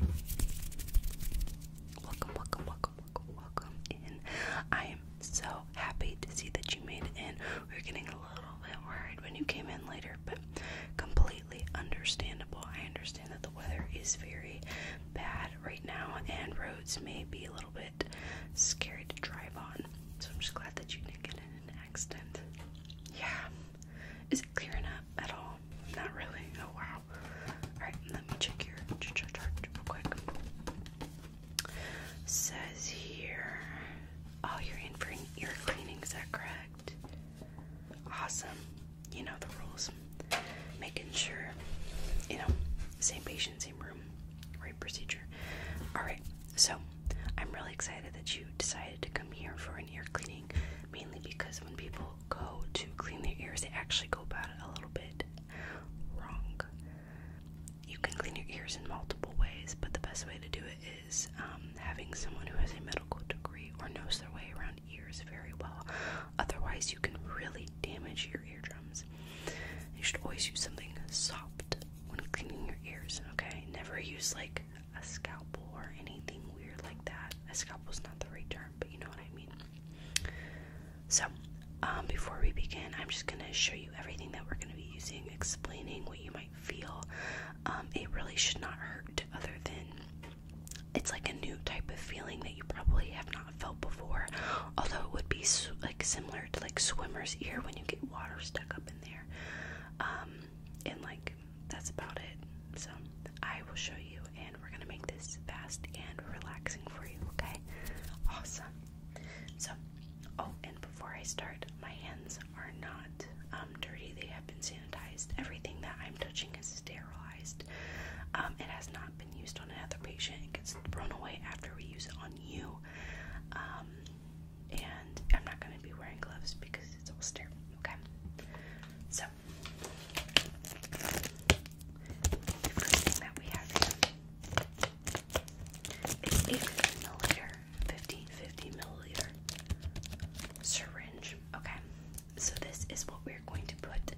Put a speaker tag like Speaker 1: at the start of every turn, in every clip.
Speaker 1: Welcome, welcome, welcome, welcome, welcome in. I am so happy to see that you made it in. We were getting a little bit worried when you came in later, but completely understandable. I understand that the weather is very bad right now, and roads may be a little bit scary to drive on. So I'm just glad that you didn't get in an accident. Yeah. Is it clearing up at all? not really. Oh wow. Alright, let me check your chart real quick. Says here Oh, you're in for ear cleaning, is that correct? Awesome. You know the rules. Making sure, you know, same patient, same room, right procedure. Alright, so I'm really excited that you decided to come here for an ear cleaning, mainly because when people go to clean their ears, they actually go about it a little bit wrong. You can clean your ears in multiple ways, but the best way to do it is um, having someone who has a medical degree or knows their way around ears very well. Otherwise, you can really damage your eardrums. You should always use something soft when cleaning your ears, okay? Never use like a scalpel or anything weird like that. A scalpel's not the right term but you know what I mean. So, um, before we begin, I'm just gonna show you everything that we're gonna be using, explaining what you might feel. Um, it really should not hurt, other than it's like a new type of feeling that you probably have not felt before. Although it would be like similar to like swimmer's ear when you get water stuck up in there, um, and like that's about it. So I will show you, and we're gonna make this fast and relaxing for you. Okay? Awesome. So, oh, and before I start, my hands are not um, dirty. They have been sanitized. Everything that I'm touching is sterilized. Um, it has not been used on another patient. It gets thrown away after we use it on you. Um, and I'm not gonna be wearing gloves because it's all sterile. Okay? So first thing that we have here is a 50 milliliter, 50, milliliter syringe. Okay, so this is what we're going to put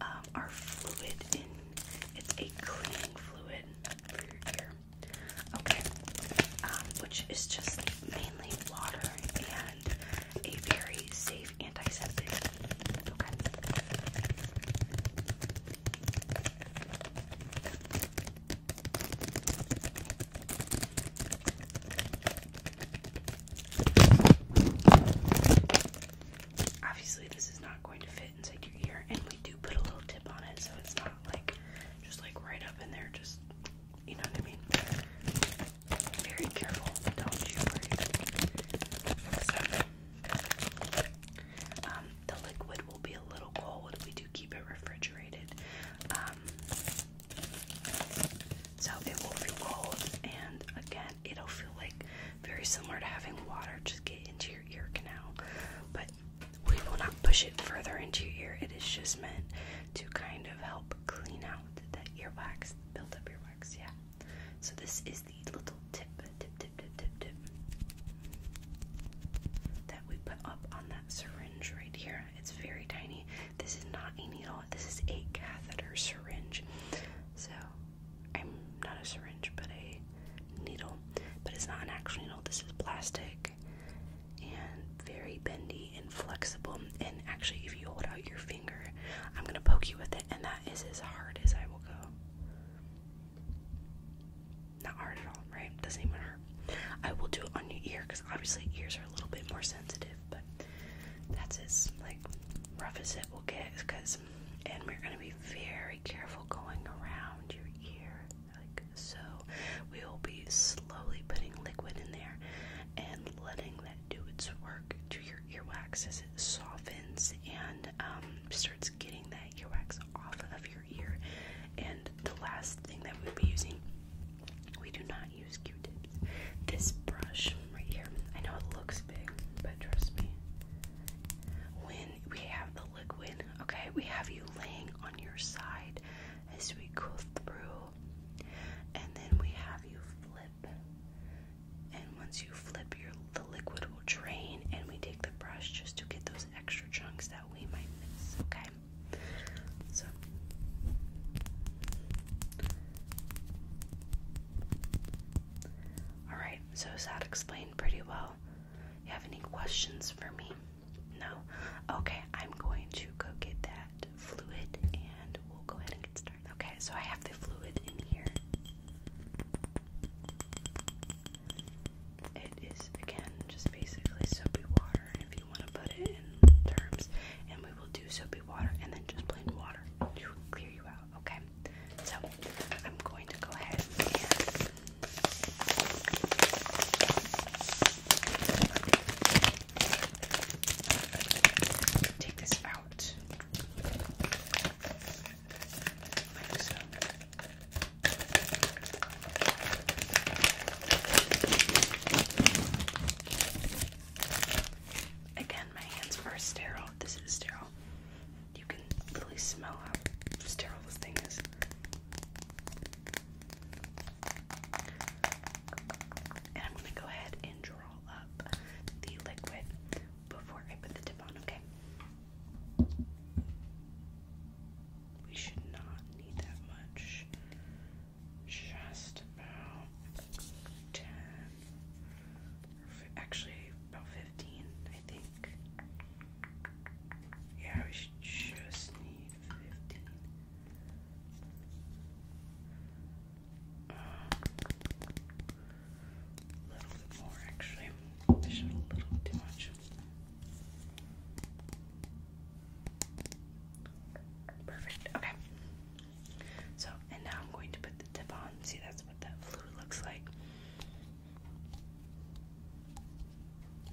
Speaker 1: um, our fluid in. It's a cleaning fluid Okay, um, which is just mainly water and a very safe antiseptic. Okay. Obviously, this is not going to fit inside your ear, and we do put a little tip on it, so it's not like just like right up in there. Just you know what I mean very careful, don't you um, the liquid will be a little cold. We do keep it refrigerated. Um, so it will feel cold, and again, it'll feel like very similar to having water just get into your ear canal. But we will not push it further into your ear. It is just meant to kind of help clean out that earwax, build up your works, yeah. So this is the little tip, tip, tip, tip, tip, tip that we put up on that syringe right here. It's very tiny. This is not a needle, this is a catheter syringe. So I'm not a syringe, but a needle. But it's not an actual needle, this is plastic and very bendy inflexible. And actually, if you hold out your finger, I'm gonna poke you with it, and that is as hard as I will go. Not hard at all, right? Doesn't even hurt. I will do it on your ear because obviously ears are a little bit more sensitive, but that's as like rough as it will get because and we're gonna be very careful going around your ear like so we will be slowly putting liquid in there and letting that do its work to your earwax as it softens and um, starts getting that earwax off of your ear. And the last thing that we'll be using, we do not use Q-tips. This brush right here, I know it looks big, but trust me, when we have the liquid, okay, we have you laying on your side as we go through, and then we have you flip and once you flip, the liquid will drain, and we take the brush just to get those extra chunks that we might miss. Okay, so. Alright, so that explained pretty well? You have any questions for me? No? Okay, I'm going to go get that fluid and we'll go ahead and get started. Okay, so I have the fluid in here. It is again just basically soapy water if you want to put it in terms, and we will do soapy water and then just plain water to clear you out, okay? So I'm going to go ahead and Take this out. Again, my hands are sterile. This is sterile. You can literally smell how sterile this thing is. And I'm going to go ahead and dry up the liquid before I put the tip on, okay? We should not need that much. Just about 10, actually, about 15, I think. Yeah, we should just need 15 a little bit more, actually. a little too much. Perfect. Okay. So, and now I'm going to put the tip on. See, that's what the fluid looks like.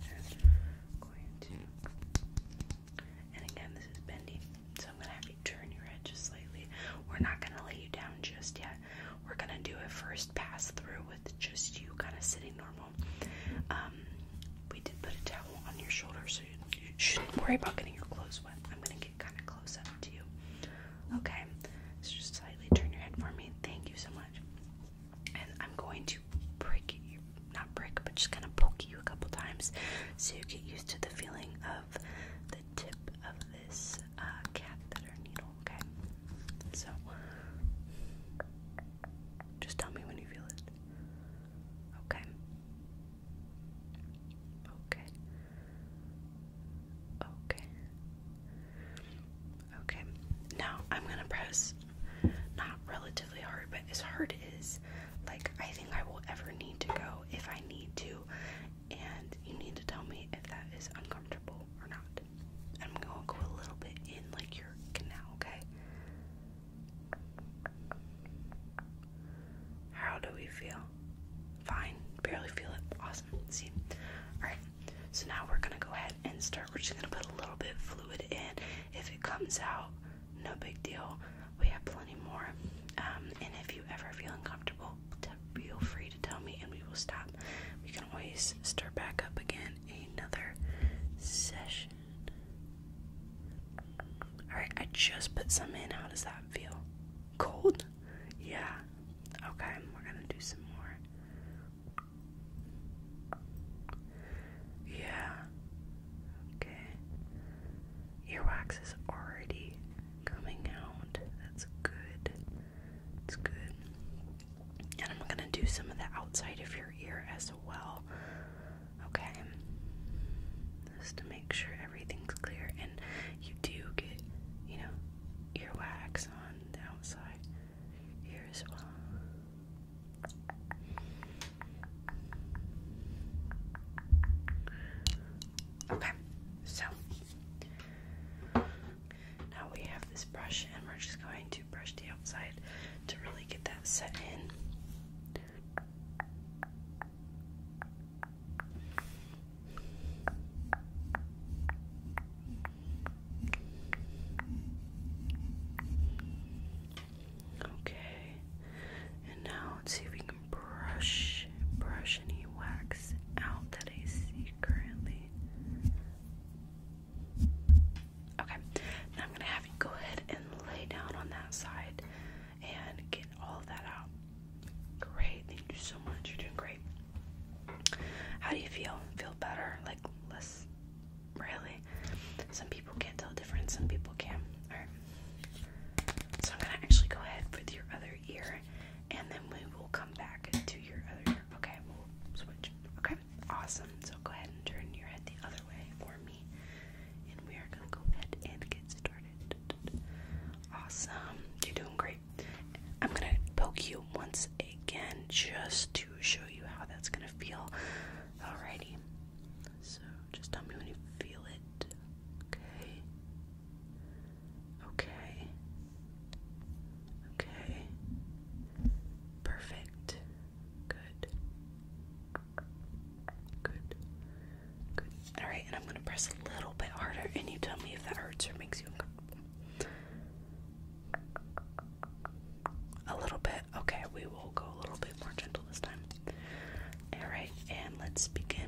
Speaker 1: And going to. And again, this is bendy, so I'm gonna have you turn your head just slightly. We're not gonna lay you down just yet. We're gonna do a first pass through with just you kind of sitting normal. Um, we did put a towel on your shoulders, so you, shouldn't worry about getting your clothes wet. I'm gonna get kind of close up to you. Okay, just slightly turn your head for me. Thank you so much. And I'm going to prick you, not prick, but just kind of poke you a couple times so you get used to the feeling of the tip of this uh, catheter needle, okay? So, just tell me when you feel it. Okay. Okay. Okay. Okay. Now I'm gonna press not relatively hard, but as hard as like I think I will ever need to go if I need to and you need to tell me if that is uncomfortable or not. I'm gonna go a little bit in like your canal, okay? How do we feel? Fine. Barely feel it. Awesome. See? Alright. So now we're gonna go ahead and start. We're just gonna put a little bit of fluid in. If it comes out, no big deal. We have plenty more. Um, and if you ever feel uncomfortable, feel free to tell me and we will stop. We can always start back up again another session. Alright, I just put some in. How does that feel? Cold? Yeah. Okay, we're gonna do some more. Yeah. Okay. Earwax is already coming out. That's good. It's good. And I'm gonna do some of the outside of your ear as well. Okay. Just to make sure everything's clear. And you do get, you know, earwax on the outside ear as well. Okay, so now we have this brush, and we're just going to brush the outside to really get that set in. Okay, and now let's see if we brush brush any wax out that I see currently. Okay, now I'm gonna have you go ahead and lay down on that side and get all that out. Great, thank you so much. You're doing great. How do you feel? Feel better? Like less? Really? Some people can't tell the difference, some people can. Alright. So I'm gonna actually go ahead with your other ear and then we will come back to your other ear. Okay, we'll switch. Okay, awesome. So go ahead and turn your head the other way for me. And we are gonna go ahead and get started. Awesome. You're doing great. I'm gonna poke you once again just to show you how that's gonna feel. Alrighty. So just tell me when you feel it. Okay. Okay. Okay. Perfect. Good. Good. Good. Alright, and I'm going to press a little bit harder, and you tell me if that hurts or makes you uncomfortable. A little bit. Okay, we will go a little bit more gentle this time. Alright, and let's begin.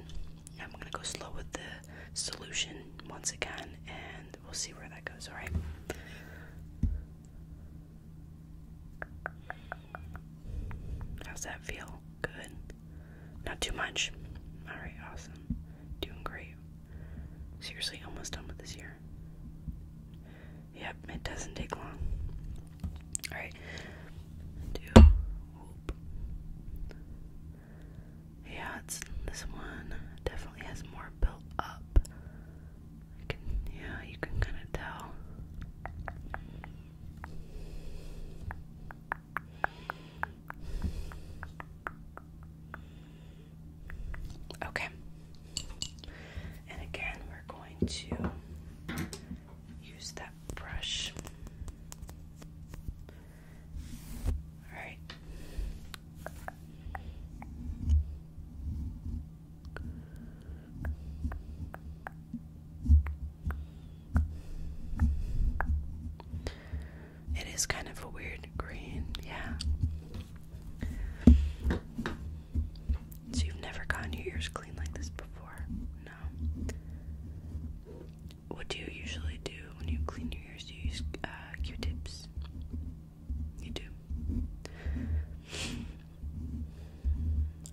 Speaker 1: I'm gonna go slow with the solution once again, and we'll see where that goes, alright? How's that feel? Good. Not too much. Alright, awesome. Doing great. Seriously, almost done with this year. Yep, it doesn't take long. All right. Yeah, this one definitely has more built up. yeah, you can kind of tell. Okay. And again, we're going to use that brush. Alright. It is kind of a weird green, yeah. So you've never gotten your ears clean like this before? No what do you usually do when you clean your ears? Do you use Q-tips? Uh, you do.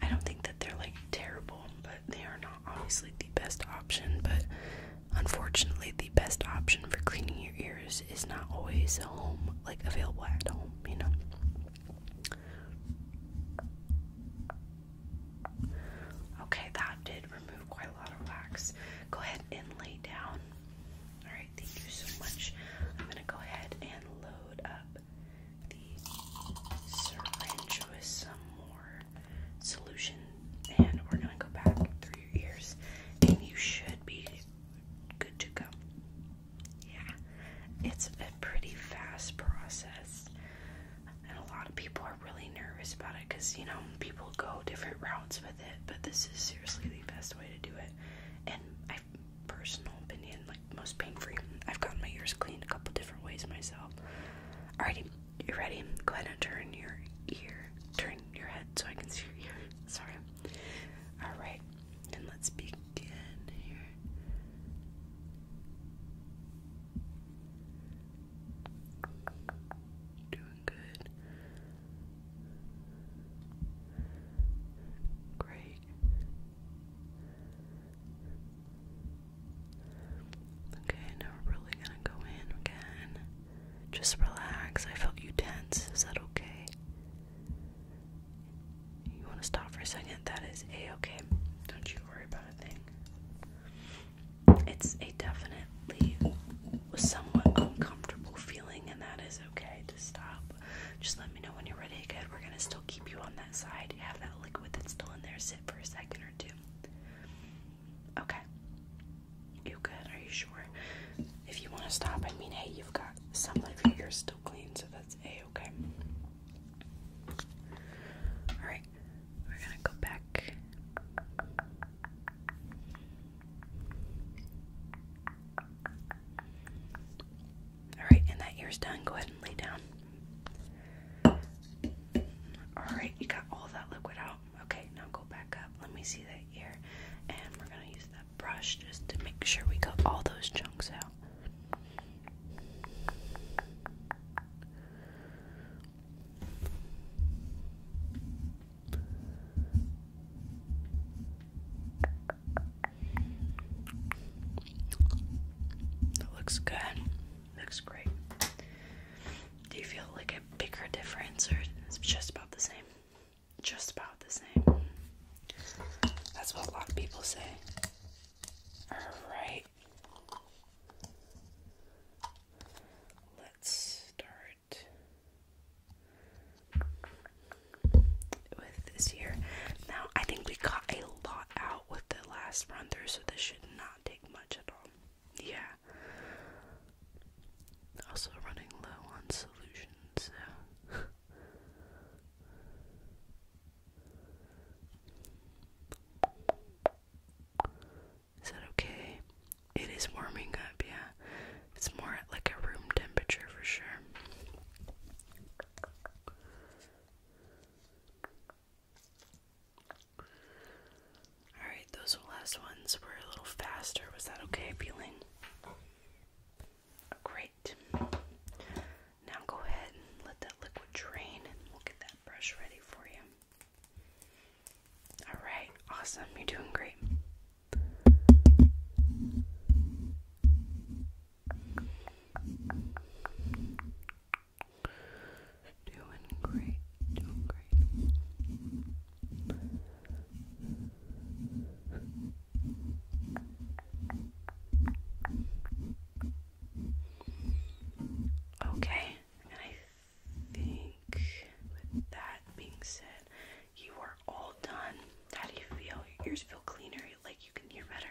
Speaker 1: I don't think that they're like terrible, but they are not obviously the best option. But unfortunately, the best option for cleaning your ears is not always home, like available at home. You know. Okay, that did remove quite a lot of wax. Go ahead and lay down. Alright, thank you so much. I'm gonna go ahead and load up the syringe with some more solution, and we're gonna go back through your ears, and you should be good to go. Yeah, it's a pretty fast process and a lot of people are really nervous about it because you know people go different routes with it but this is seriously the best way to do it and i personal opinion like most pain-free i've gotten my ears cleaned a couple different ways myself alrighty you ready go ahead and turn your ear turn your head so i can see your ear sorry all right and let's begin here Doing good. Great. Okay, now we're really gonna go in again. Just relax. I felt you tense. Is that okay? You want to stop for a second? That is a okay. Don't you should a thing. It's a definitely somewhat uncomfortable feeling, and that is okay to stop. Just let me know when you're ready. Good, we're gonna still keep you on that side. Have that liquid that's still in there sit for a second or two. Okay. You good? Are you sure? If you want to stop, I mean, hey, you've got some of your ears still clean, so that's a okay. Alright, we're gonna go back. Alright, and that ear's done. Go ahead and lay down. Alright, you got all that liquid out. Okay, now go back up. Let me see that ear. And we're gonna use that brush just to make sure we got all those chunks out. That looks good. Looks great. Do you feel like a bigger difference or it's just about the same? Just about the same. That's what a lot of people say. Alright. Let's start with this here. Now, I think we got a lot out with the last run through, so this should not take much at all. Yeah. Also, running low on solutions. I said, okay, it is warming up, yeah. It's more like a room temperature for sure. Alright, those last ones were a little faster. Was that okay, feeling? great. Now go ahead and let that liquid drain and we that brush ready for you. Alright, awesome. You're doing great. Doing great, doing great. Okay, and I think with that being said, you are all done. How do you feel? Your ears feel cleaner, like you can hear better.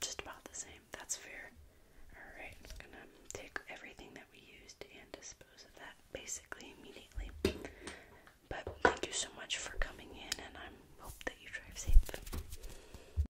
Speaker 1: Just about the same. That's fair. Alright, I'm gonna take everything that we used and dispose of that basically immediately. But thank you so much for coming in, and I hope that you drive safe.